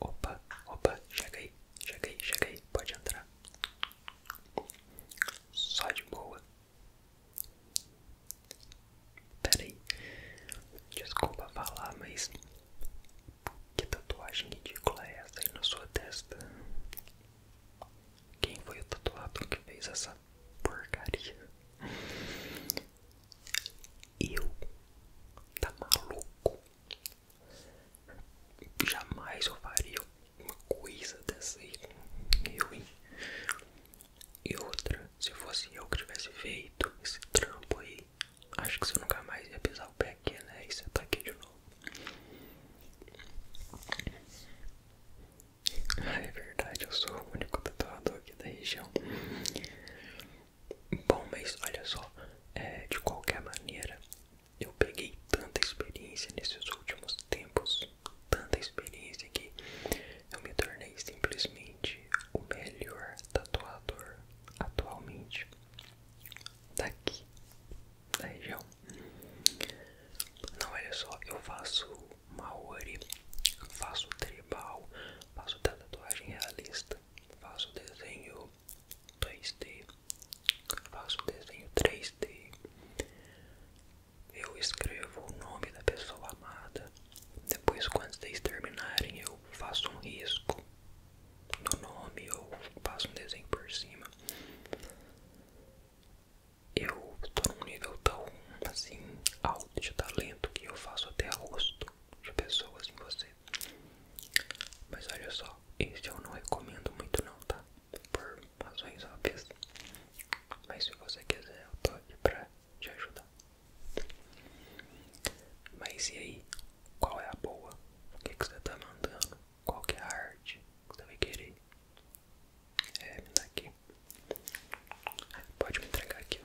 Opa, opa, chega aí, chega aí, chega aí, pode entrar. Só de boa. Pera aí, desculpa falar, mas que tatuagem ridícula é essa aí na sua testa? Quem foi o tatuador que fez essa porcaria? Eu, tá maluco? Jamais eu faria uma coisa dessa aí. Eu, hein? E outra, se fosse eu que tivesse feito esse trampo aí, acho que você nunca mais ia pisar o pé aqui, né? E você tá aqui de novo. Ah, é verdade, eu sou o único tatuador aqui da região. Bom, mas olha só, é, de qualquer maneira, eu peguei tanta experiência nesses últimos tempos, tanta experiência que eu me tornei simplesmente o melhor tatuador atualmente daqui da região. Não, olha só, eu faço maori, faço tribal, faço tatuagem realista, faço desenho 2D, faço desenho 3D. Eu escrevo o nome da pessoa amada. Depois, quando vocês terminarem, eu faço um risco no nome ou faço um desenho por cima eu tô num nível tão assim alto de talento que eu faço até rosto de pessoas em você. Mas olha só, este eu não recomendo muito não, tá? Por razões óbvias. Mas se você quiser, eu tô aqui pra te ajudar. Mas e aí? Qual é a boa? O que, você tá mandando? Qual é a arte que você vai querer? É, me dá aqui. Pode me entregar aqui,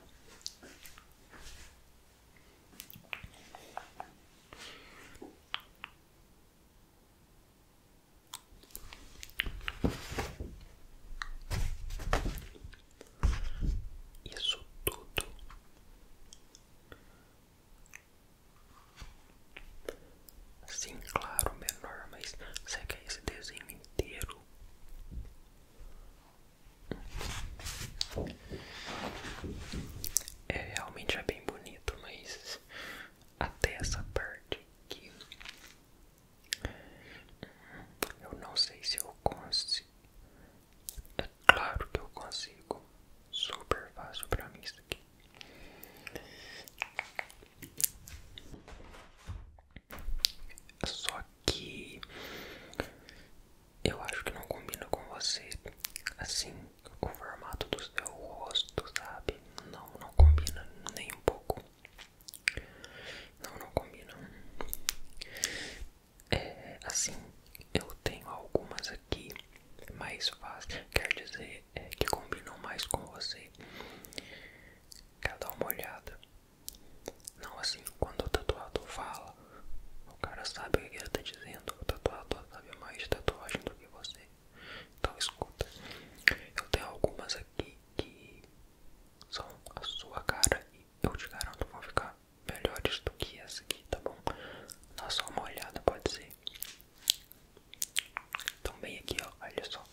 Isso tudo Sim, claro, menor, mas você quer esse desenho inteiro é realmente é bem bonito, mas até essa parte aqui eu não sei se eu consigo. É claro que eu consigo. Super fácil pra mim isso aqui. Só que eu acho que não combina com você, assim, o formato do seu rosto, sabe? Não, não combina nem um pouco. Não, não combina. É, assim, eu tenho algumas aqui mais fáceis, quer dizer, é, que combinam mais com você. cada uma olhada? Não assim, quando o tatuador fala, o cara sabe o que ele está dizendo, o tatuador sabe mais de tatuagem do que você. Então escuta, eu tenho algumas aqui que são a sua cara e eu te garanto vão ficar melhores do que essa aqui, tá bom? Dá só uma olhada, pode ser. Então bem aqui, ó, olha só.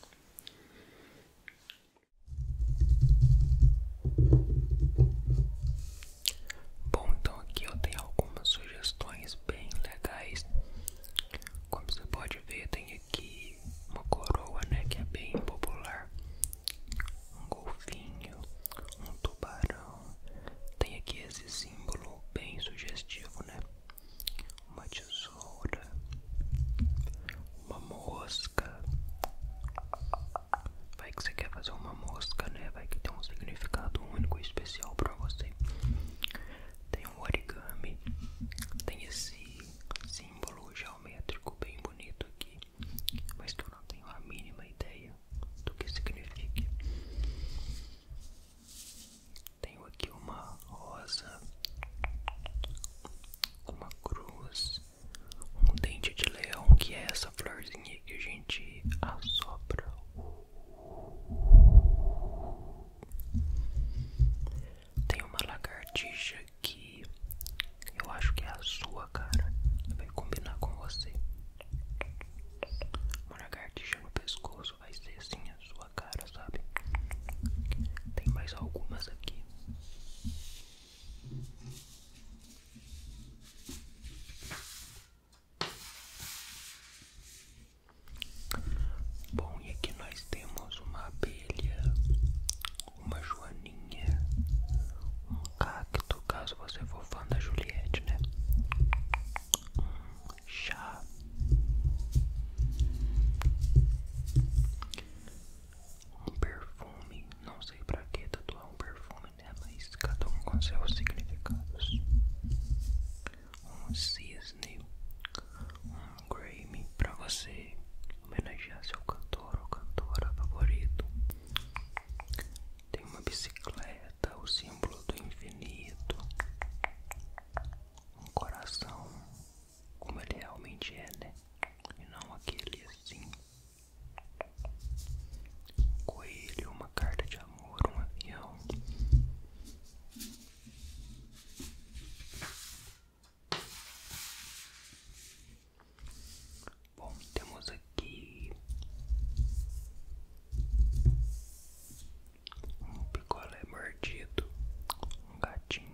Bom, então aqui eu tenho algumas sugestões bem legais. Como você pode ver, tem aqui uma coroa, né, que é bem popular. Um golfinho, um tubarão. Tem aqui esse símbolo bem sugestivo, né? Uma tesoura uma mosca. Vai que você quer fazer uma mosca, né? Vai que tem um significado único e especial para você. Tem um origami, tem esse símbolo geométrico bem bonito aqui, mas que eu não tenho a mínima ideia do que significa. Tenho aqui uma rosa, uma cruz, um dente de leão, que é essa florzinha que a gente assopra. Tem uma lagartixa que eu acho que é a sua cara, vai combinar com você. Uma lagartixa no pescoço vai ser assim a sua cara, sabe? Tem mais algumas aqui. Bom, e aqui nós temos uma abelha, uma joaninha, um cacto, caso você for fã da Juliette, né? Um chá um perfume, não sei pra que tatuar um perfume, né? Mas cada um com seus significados. Um cisne, um Grammy pra você homenagear seu cantor ou cantora favorito. Tem uma bicicleta, o símbolo do infinito. Um coração, como ele realmente é, né? E não aquele assim. Um coelho, uma carta de amor, um avião. Bom, temos aqui um picolé mordido, um gatinho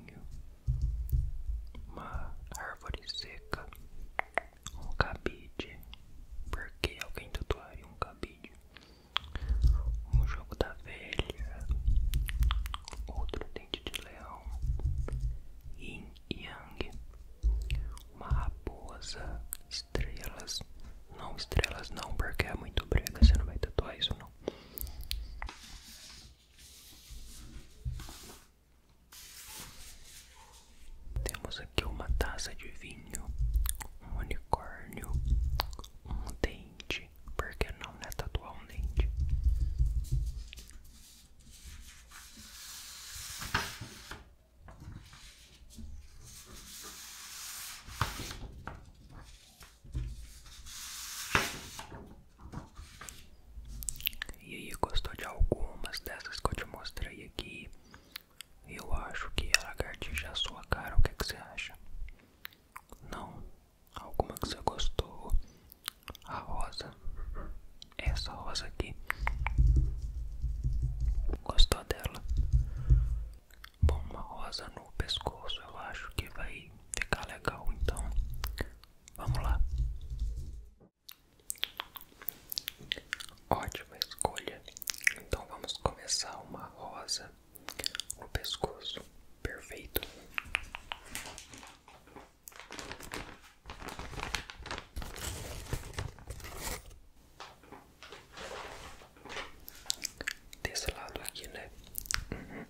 uma árvore seca, um cabide, porque alguém tatuaria um cabide, um jogo da velha, outro dente de leão, yin e yang, uma raposa, estrelas, não estrelas não, porque é muito brega, você não vai tatuar isso não. Temos aqui uma taça de vinho, um unicórnio, um dente. porque não, né? Tatuar um dente. E aí, gostou de algumas dessas que eu te mostrei aqui? Eu acho que a lagartixa é a sua cara, o que, é que você acha? Não, alguma que você gostou? A rosa, essa rosa aqui. Gostou dela? Bom, uma rosa no pescoço eu acho que vai ficar legal, então Vamos lá. Ótima escolha. Então vamos começar uma rosa no pescoço. Perfeito. Desse lado aqui, né? Uhum.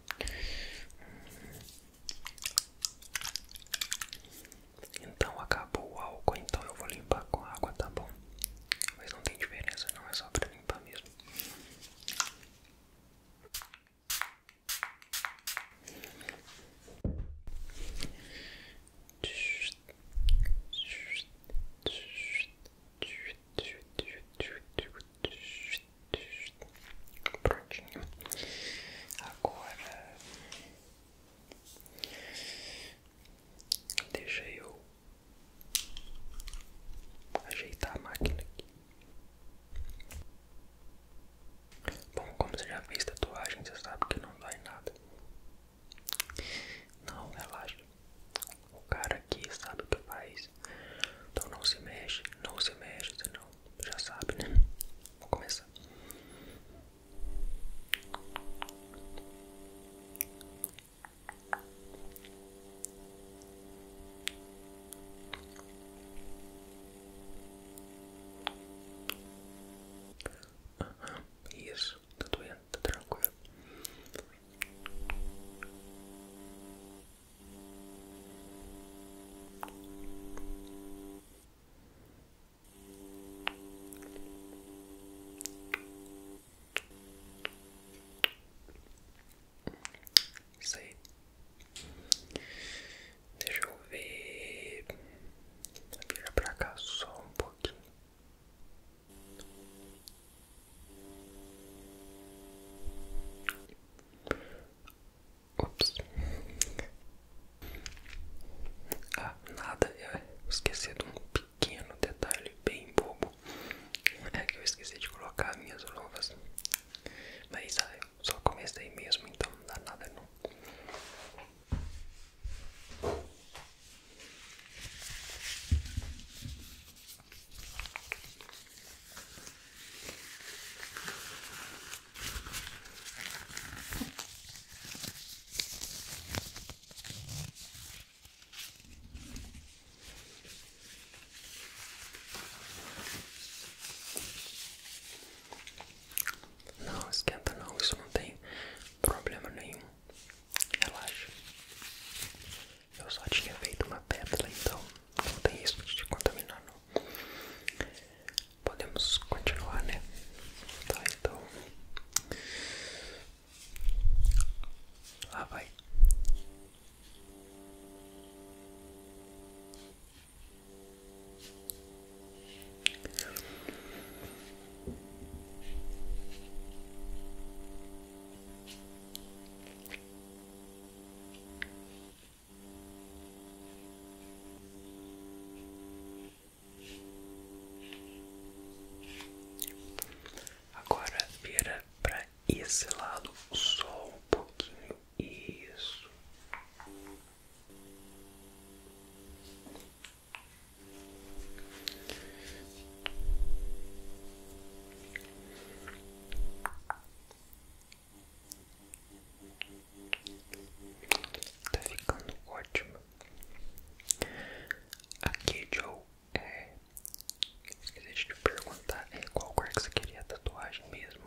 Então acabou o álcool, então eu vou limpar com água, tá bom? Mas não tem diferença, não é só pra limpar mesmo. Prontinho. Agora deixa eu ajeitar a máquina aqui. Bom, como você já fez tatuagem, você sabe que não dói nada. Não, relaxa. O cara aqui sabe o que faz. Então não se mexe, não se mexe, senão já sabe, né? Vou começar. Aham, isso, tá doendo, tá tranquilo. Isso aí. Deixa eu ver. Vira pra cá só um pouquinho ops, Ah, nada, eu esqueci de um pequeno detalhe bem bobo. É que eu esqueci de colocar minhas luvas. Mas ah, eu só comecei mesmo, então não dá nada não. Não esquenta, não. Isso não tem problema nenhum. Relaxa. Eu só tinha feito uma pedra então não tem isso de te contaminar, não. Podemos continuar, né? Tá, então. Lá vai. Agora vira para esse lado só um pouquinho. Isso. Tá ficando ótimo. Aqui, Joe, é. Esqueci te perguntar é, qual que você queria a tatuagem mesmo.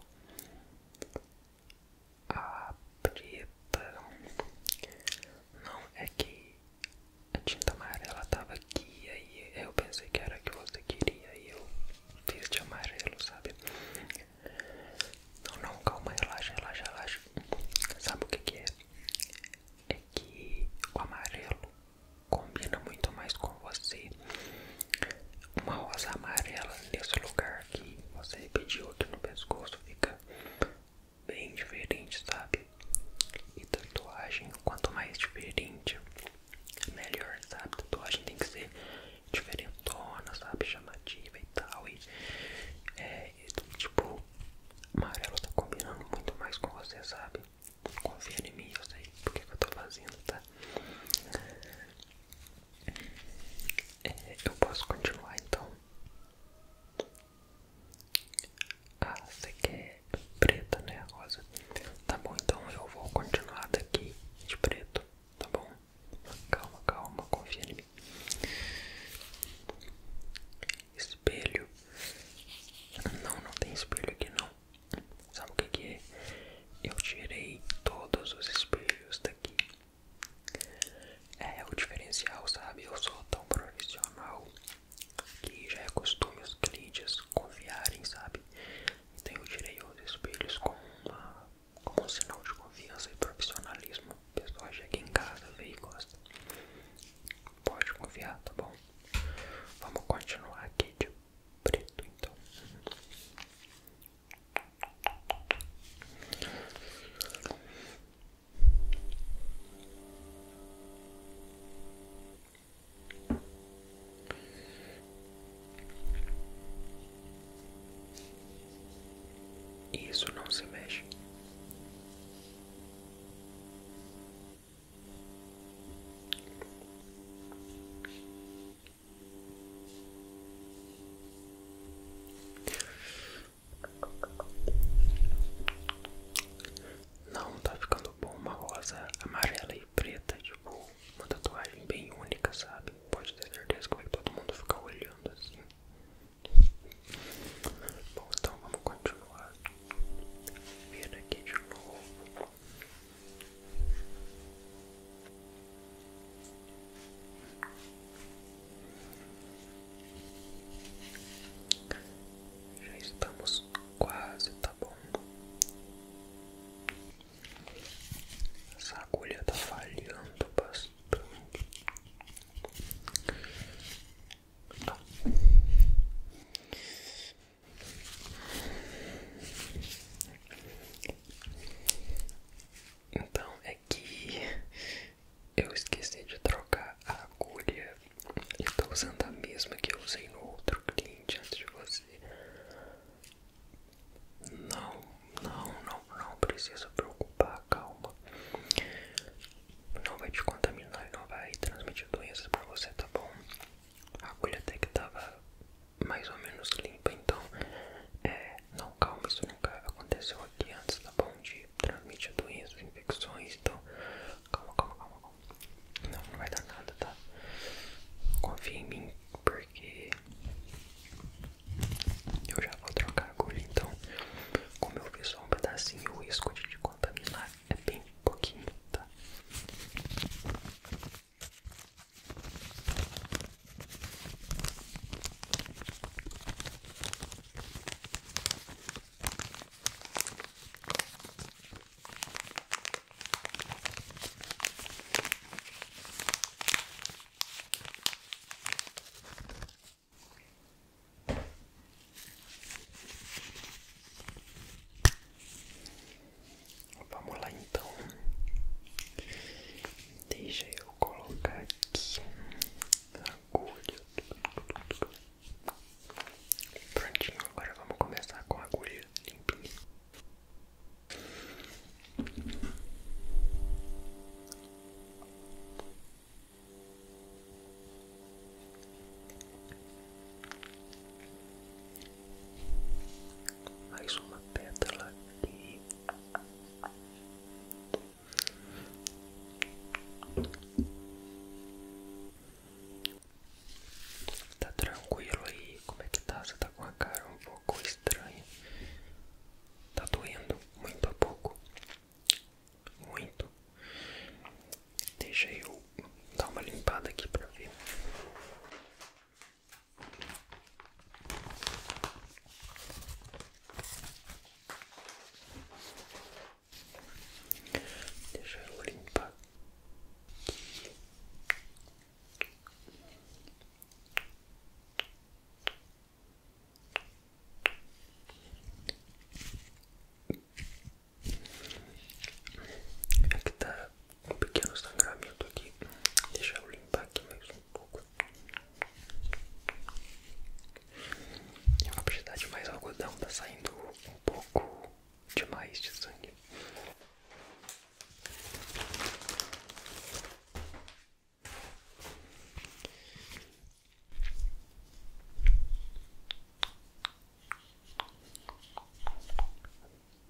A preta. Não, é que a tinta amarela tava aqui, aí eu pensei que era a que você queria aí eu fiz de amarelo, sabe? Não, não, calma, relaxa, relaxa, relaxa. Sabe o que, é? É que o amarelo combina muito mais com você. Uma rosa amarela nesse lugar aqui você pediu outro no pescoço fica bem diferente, sabe? E tatuagem, quanto mais diferente, melhor, sabe? Tatuagem tem que ser diferentona, sabe? Chamativa e tal. E é, tipo, amarelo tá combinando muito mais com você, sabe? Confia em mim, eu sei porque eu tô fazendo, tá? É, eu posso continuar então? Ah, você quer preta, né? Rosa. Tá bom, então eu vou continuar daqui de preto, tá bom? Calma, calma, confia em mim. Espelho. Não, não tem espelho aqui não. Sabe o que, que é? Eu tirei todos os espelhos daqui. É o diferencial, sabe? Eu sou tão profissional que já é costume os clientes confiarem, sabe? Então eu tirei os espelhos com uma como sinal de confiança e profissionalismo. A pessoa chega em casa, vê e gosta. Pode confiar, tá bom? Vamos continuar aqui de preto, então. Isso não se mexe. Não, tá ficando bom uma rosa amarela e preta, tipo, uma tatuagem bem única, sabe? Pode ter certeza é que todo mundo ficar olhando assim. Bom, então vamos continuar. Vir aqui de novo. Já estamos quase, tá bom? Essa agulha tá falhando bastante. Então é que eu esqueci de trocar a agulha e tô usando a mesma que eu usei no outro cliente antes de você não, não, não, não precisa preocupar, calma. Não vai te contaminar, não vai transmitir doenças pra você, tá bom? A agulha até que tava mais ou menos limpa, então é, não, calma, isso nunca aconteceu aqui antes, tá bom? De transmitir doenças, infecções, então calma, calma, calma, calma. Não, não vai dar nada, tá? Confia em mim, porque eu já vou trocar a agulha então. Como eu fiz só um pedacinho, o risco de te contaminar é bem pouquinho, tá? Vamos lá então. Deixa eu colocar aqui a agulha. Prontinho, agora vamos começar com a agulha limpinha. Mais uma pétala aqui. Tá tranquilo aí? Como é que tá? Você tá com a cara um pouco estranha tá doendo muito a pouco, muito. Deixa eu dar uma limpada aqui pra ver. Deixa eu limpar. Aqui tá um pequeno sangramento aqui. Deixa eu limpar aqui mais um pouco. Eu vou precisar de mais algodão, está saindo um pouco demais de sangue.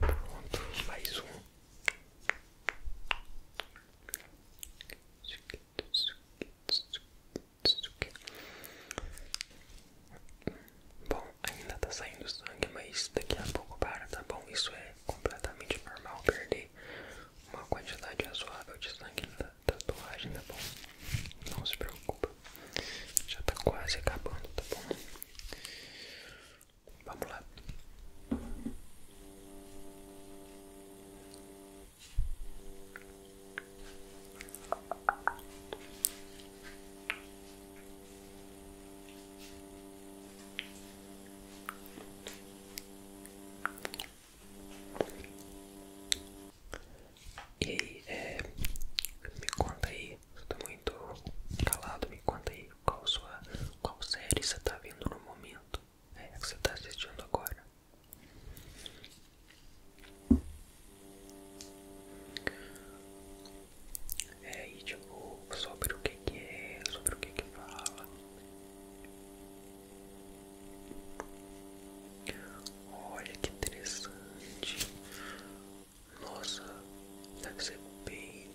Pronto, mais um. Bom, ainda está saindo sangue, mas daqui a pouco para, tá bom? Isso é completamente normal perder uma quantidade razoável de sangue da tatuagem, tá bom? Não se preocupa, já tá quase acabando, tá bom? Vamos lá. E aí, é, me conta aí, você tá muito calado, me conta aí qual sua qual série você tá vendo no momento, é, que você tá assistindo agora. É, e tipo, sobre o que que é, sobre o que que fala. Olha que interessante. Nossa, deve ser bem.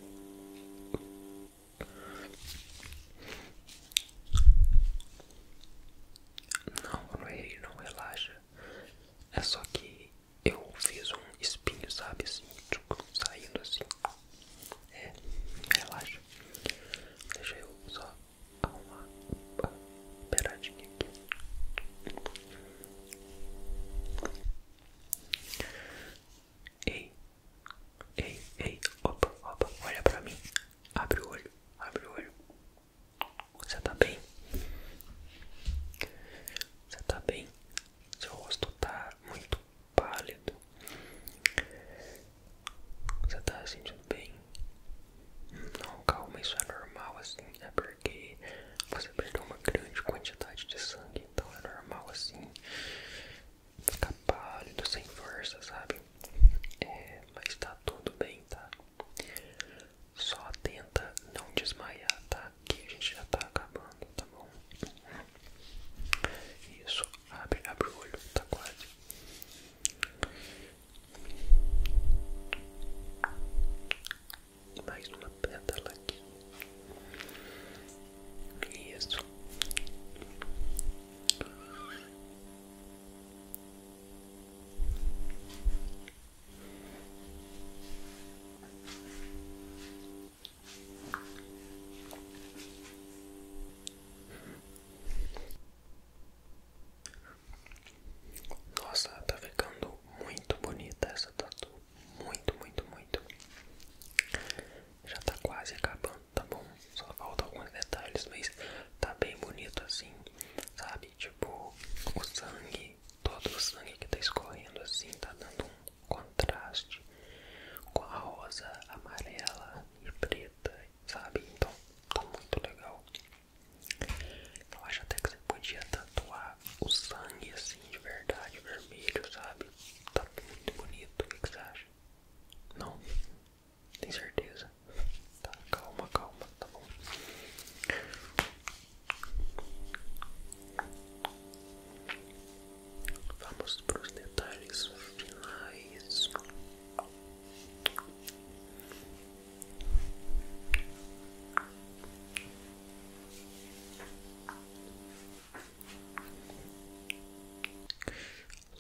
Não, não é, errei, não relaxa. É só que eu fiz um espinho, sabe assim, tipo, saindo assim. É, relaxa. Deixa eu só arrumar uma peradinha aqui. Ei, ei, ei, opa, opa, olha pra mim. Abre o olho, abre o olho. Você tá bem? Você tá bem? Seu rosto tá muito pálido. Você tá se sentindo bem? Não, calma, isso é normal assim, é porque você perdeu uma grande quantidade de sangue, então é normal assim ficar pálido, sem força, sabe? É, mas tá tudo bem, tá? Só tenta não desmaiar, tá? Que a gente já tá acabando, tá bom? Isso, abre, abre o olho, tá quase mais uma pétala aqui. Isso. Nossa, tá ficando muito bonita essa tatu. Muito, muito, muito. Já tá quase acabando, tá bom? Só falta alguns detalhes, mas tá bem bonito assim, sabe? Tipo, o sangue, todo o sangue que tá escorrendo assim, tá dando um contraste com a rosa amarela e preta sabe? Então tá muito legal. Eu acho até que você podia tatuar o sangue assim de verdade, vermelho, sabe? Tá muito bonito, o que, você acha? Não? Tem certeza? Tá, calma, calma, tá bom? Vamos pros detalhes finais.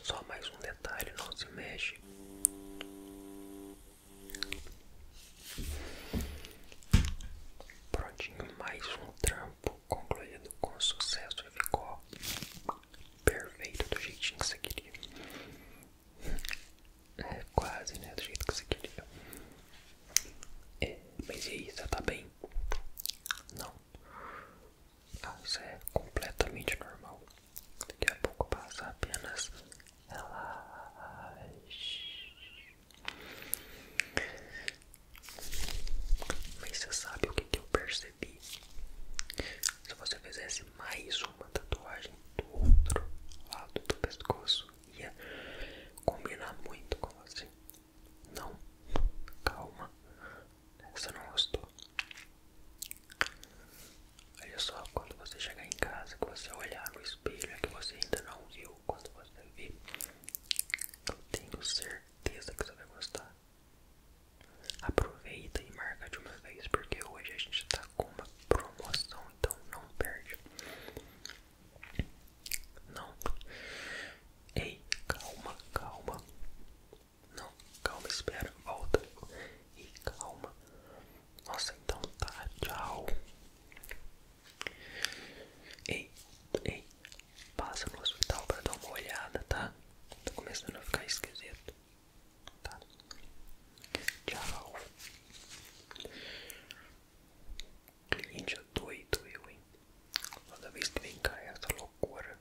Só mais um detalhe, não se mexe. Prontinho, mais um trampo concluído com sucesso e vigor perfeito do jeitinho que você queria. É, quase, né? Do jeito que você queria. É, mas e aí, você tá bem? Não. Ah, isso é completamente normal. Daqui a pouco passa apenas. Relaxe. Mas você sabe o que, que eu percebi? Se você fizesse mais uma tatuagem do outro lado do pescoço, ia combinar muito com você. Não, calma, essa não gostou. Olha só, quando você chegar em casa, que você olhar no espelho, é que você ainda não viu quando você vir. Eu tenho certeza que você vai gostar. Aproveita e marca de uma vez, porque hoje a gente tá com uma promoção, então não perde. Não. Ei, calma, calma. Não, calma, espera, volta. E calma. Nossa, então tá, tchau. Ei, ei, passa no hospital pra dar uma olhada, tá? Tá começando a ficar esquisito. Tá? Tchau. Cliente é doido, eu, hein? Toda vez que vem cá é essa loucura.